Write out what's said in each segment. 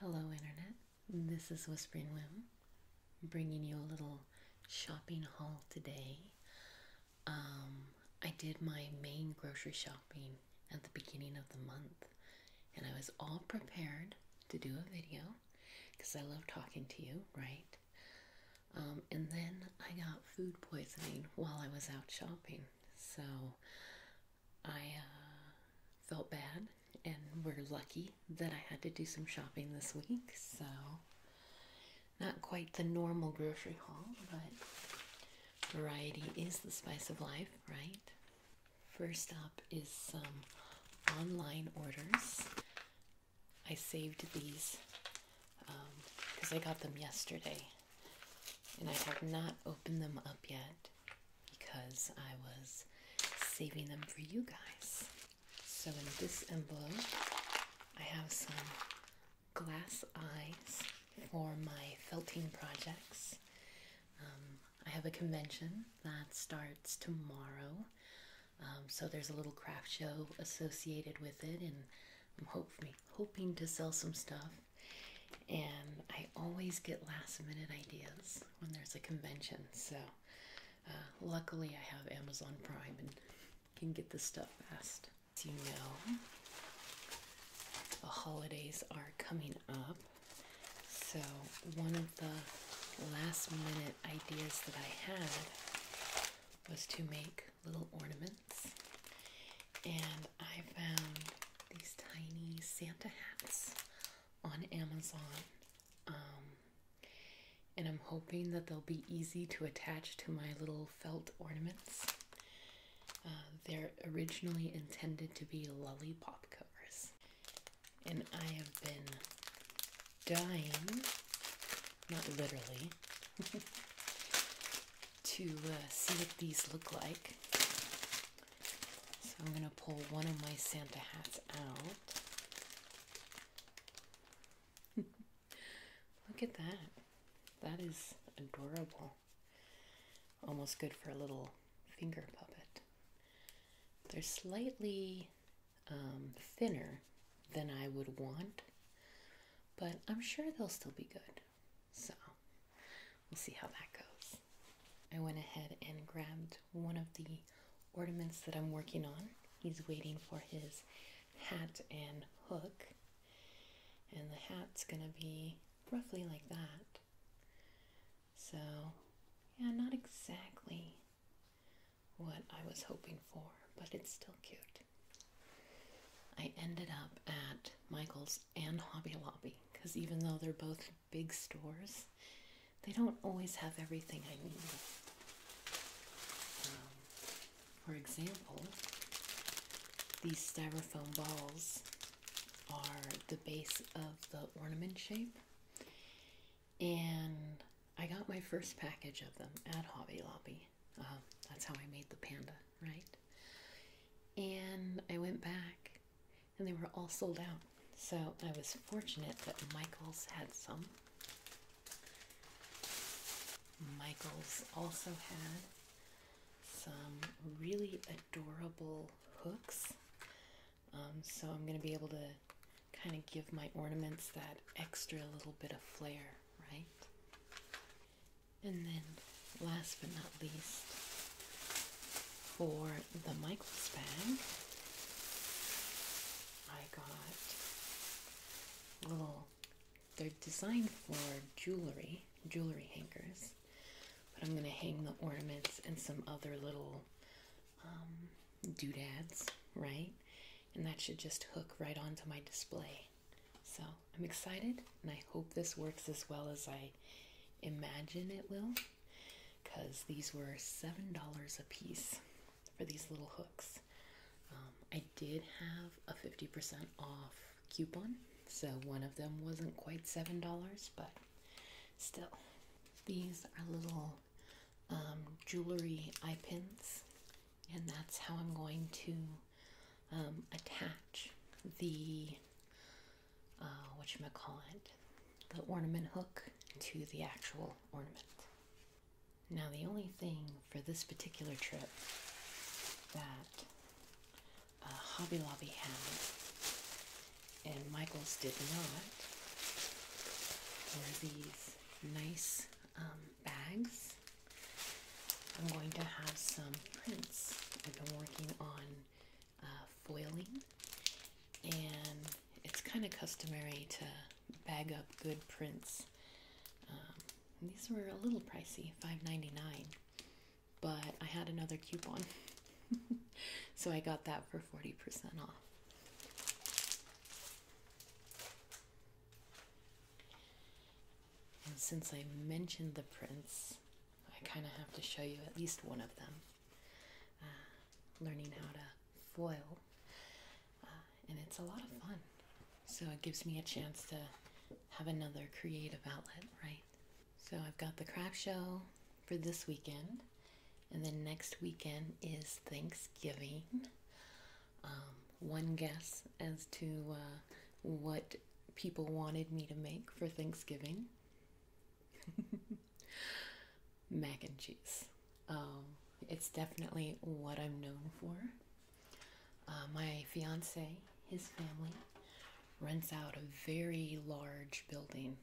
Hello, Internet. This is Whispering Wim, bringing you a little shopping haul today. Um, I did my main grocery shopping at the beginning of the month, and I was all prepared to do a video because I love talking to you, right? Um, and then I got food poisoning while I was out shopping, so I uh, felt bad, and we're lucky that I had to do some shopping this week, so not quite the normal grocery haul, but variety is the spice of life, right? First up is some online orders. I saved these because um, I got them yesterday and I have not opened them up yet because I was saving them for you guys. So in this envelope, I have some glass eyes for my felting projects. Um, I have a convention that starts tomorrow, um, so there's a little craft show associated with it, and I'm hoping to sell some stuff. And I always get last minute ideas when there's a convention. So uh, luckily, I have Amazon Prime and can get the stuff fast. you know, the holidays are coming up. So, one of the last minute ideas that I had was to make little ornaments and I found these tiny Santa hats on Amazon. Um, and I'm hoping that they'll be easy to attach to my little felt ornaments. Uh, they're originally intended to be lollipop covers, and I have been dying, not literally, to uh, see what these look like. So I'm going to pull one of my Santa hats out. look at that. That is adorable. Almost good for a little finger puppet. They're slightly um, thinner than I would want, but I'm sure they'll still be good. So we'll see how that goes. I went ahead and grabbed one of the ornaments that I'm working on. He's waiting for his hat and hook. And the hat's gonna be roughly like that. So, yeah, not exactly what I was hoping for, but it's still cute. I ended up at Michael's and Hobby Lobby because even though they're both big stores, they don't always have everything I need. Um, for example, these styrofoam balls are the base of the ornament shape, and I got my first package of them at Hobby Lobby. Uh-huh. that's how I made the panda, right? And I went back, and they were all sold out. So I was fortunate that Michaels had some. Michaels also had some really adorable hooks. Um, so I'm going to be able to kind of give my ornaments that extra little bit of flair right? And then, last but not least, for the Michaels bag, I got little, they're designed for jewelry, jewelry hangers, but I'm going to hang the ornaments and some other little um, doodads, right? and that should just hook right onto my display. So I'm excited and I hope this works as well as I imagine it will because these were $7 a piece for these little hooks. Um, I did have a 50% off coupon, so one of them wasn't quite $7, but still. These are little um, jewelry eye pins, and that's how I'm going to um, attach the uh, what you might call it, the ornament hook to the actual ornament. Now, the only thing for this particular trip that uh, Hobby Lobby had and Michaels did not were these nice um, bags. I'm going to have some prints. I've been working on uh, foiling, and it's kind of customary to bag up good prints. Um, these were a little pricey, $5.99, but I had another coupon, so I got that for 40% off. And since I mentioned the prints, I kind of have to show you at least one of them. Uh, learning how to foil, uh, and it's a lot of fun. So it gives me a chance to have another creative outlet, right? So I've got the craft show for this weekend, and then next weekend is Thanksgiving. Um, one guess as to uh, what people wanted me to make for Thanksgiving mac and cheese. Um, it's definitely what I'm known for. Uh, my fiance, his family, rents out a very large building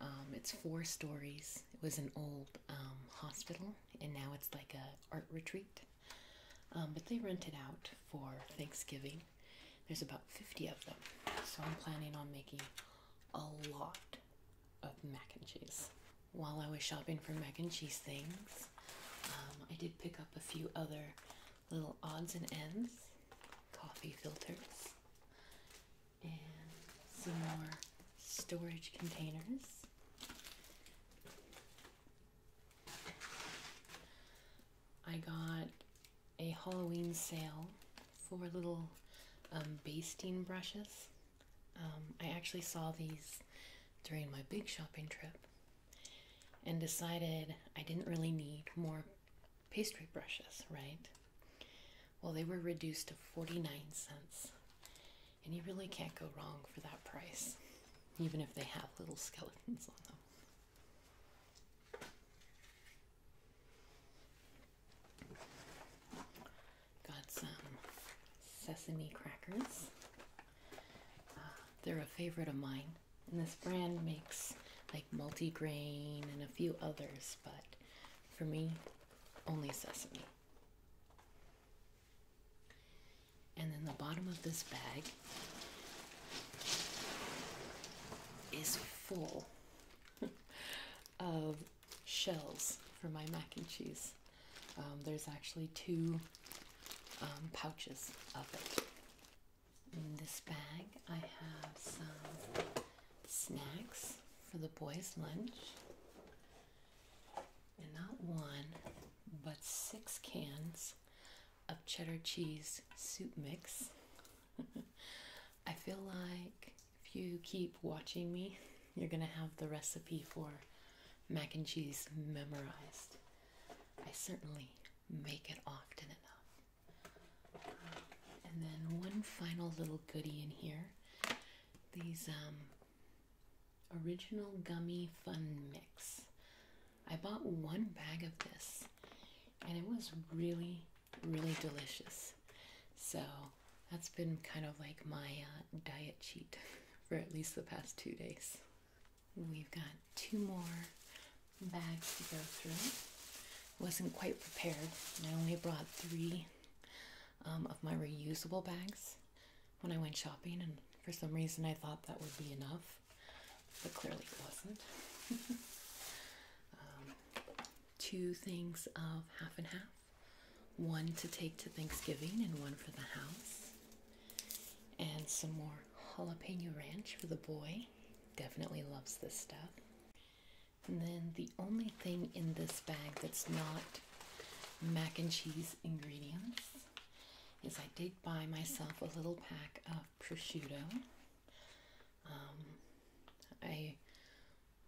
um, it's four stories. It was an old um, hospital, and now it's like a art retreat. Um, but they rented out for Thanksgiving. There's about 50 of them, so I'm planning on making a lot of mac and cheese. While I was shopping for mac and cheese things, I did pick up a few other little odds and ends, coffee filters, and some more storage containers. I got a Halloween sale for little um, basting brushes. Um, I actually saw these during my big shopping trip and decided I didn't really need more pastry brushes, right? Well, they were reduced to 49 cents. And you really can't go wrong for that price, even if they have little skeletons on them. Got some sesame crackers. Uh, they're a favorite of mine. And this brand makes like multigrain and a few others, but for me, only sesame. And then the bottom of this bag is full of shells for my mac and cheese. Um, there's actually two um, pouches of it. In this bag, I have some snacks for the boys' lunch. And not one, but six cans of cheddar cheese soup mix. I feel like if you keep watching me, you're going to have the recipe for mac and cheese memorized. I certainly make it often enough. And then one final little goodie in here. These um, original gummy fun mix. I bought one bag of this and it was really, really delicious. So that's been kind of like my uh, diet cheat for at least the past two days. We've got two more bags to go through. Wasn't quite prepared. I only brought three um, of my reusable bags when I went shopping, and for some reason I thought that would be enough, but clearly it wasn't. Um, two things of half and half one to take to Thanksgiving and one for the house, and some more jalapeno ranch for the boy. Definitely loves this stuff. And then the only thing in this bag that's not mac and cheese ingredients is I did buy myself a little pack of prosciutto. Um, I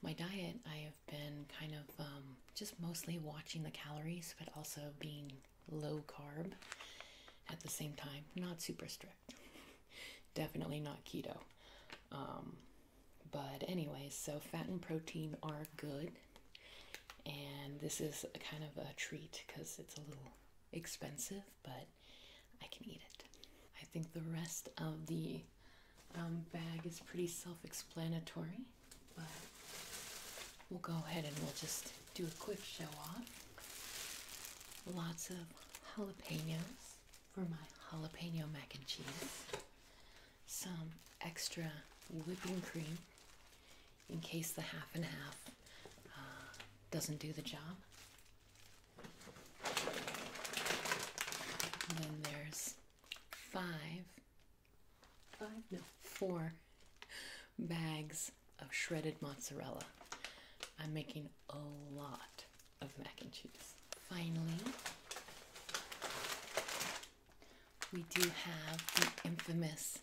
my diet I have been kind of um, just mostly watching the calories, but also being low carb at the same time. Not super strict. Definitely not keto. Um, but anyway, so fat and protein are good. And this is kind of a treat because it's a little expensive, but I can eat it. I think the rest of the um, bag is pretty self explanatory, but we'll go ahead and we'll just do a quick show off. Lots of jalapenos for my jalapeno mac and cheese. Some extra whipping cream in case the half and half uh, doesn't do the job. then there's five five, no, four bags of shredded mozzarella. I'm making a lot of mac and cheese. Finally, we do have the infamous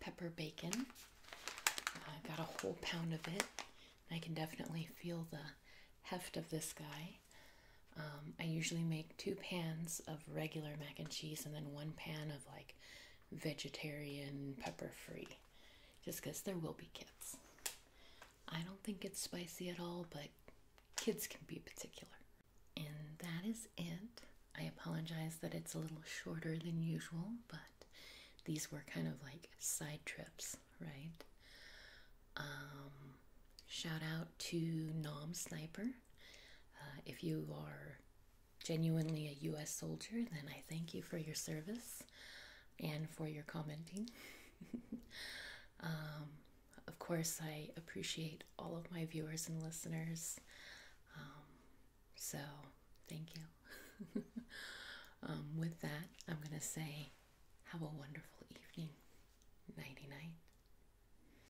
pepper bacon. I have got a whole pound of it. I can definitely feel the heft of this guy. Um, I usually make two pans of regular mac and cheese and then one pan of like vegetarian, pepper free, just because there will be kids. I don't think it's spicy at all, but kids can be particular. And that is it. I apologize that it's a little shorter than usual, but these were kind of like side trips, right? Um, shout out to Nom Sniper. Uh, if you are genuinely a US soldier, then I thank you for your service and for your commenting. Um, of course, I appreciate all of my viewers and listeners. Um, so, thank you. Um, with that, I'm going to say, have a wonderful evening. Nighty night.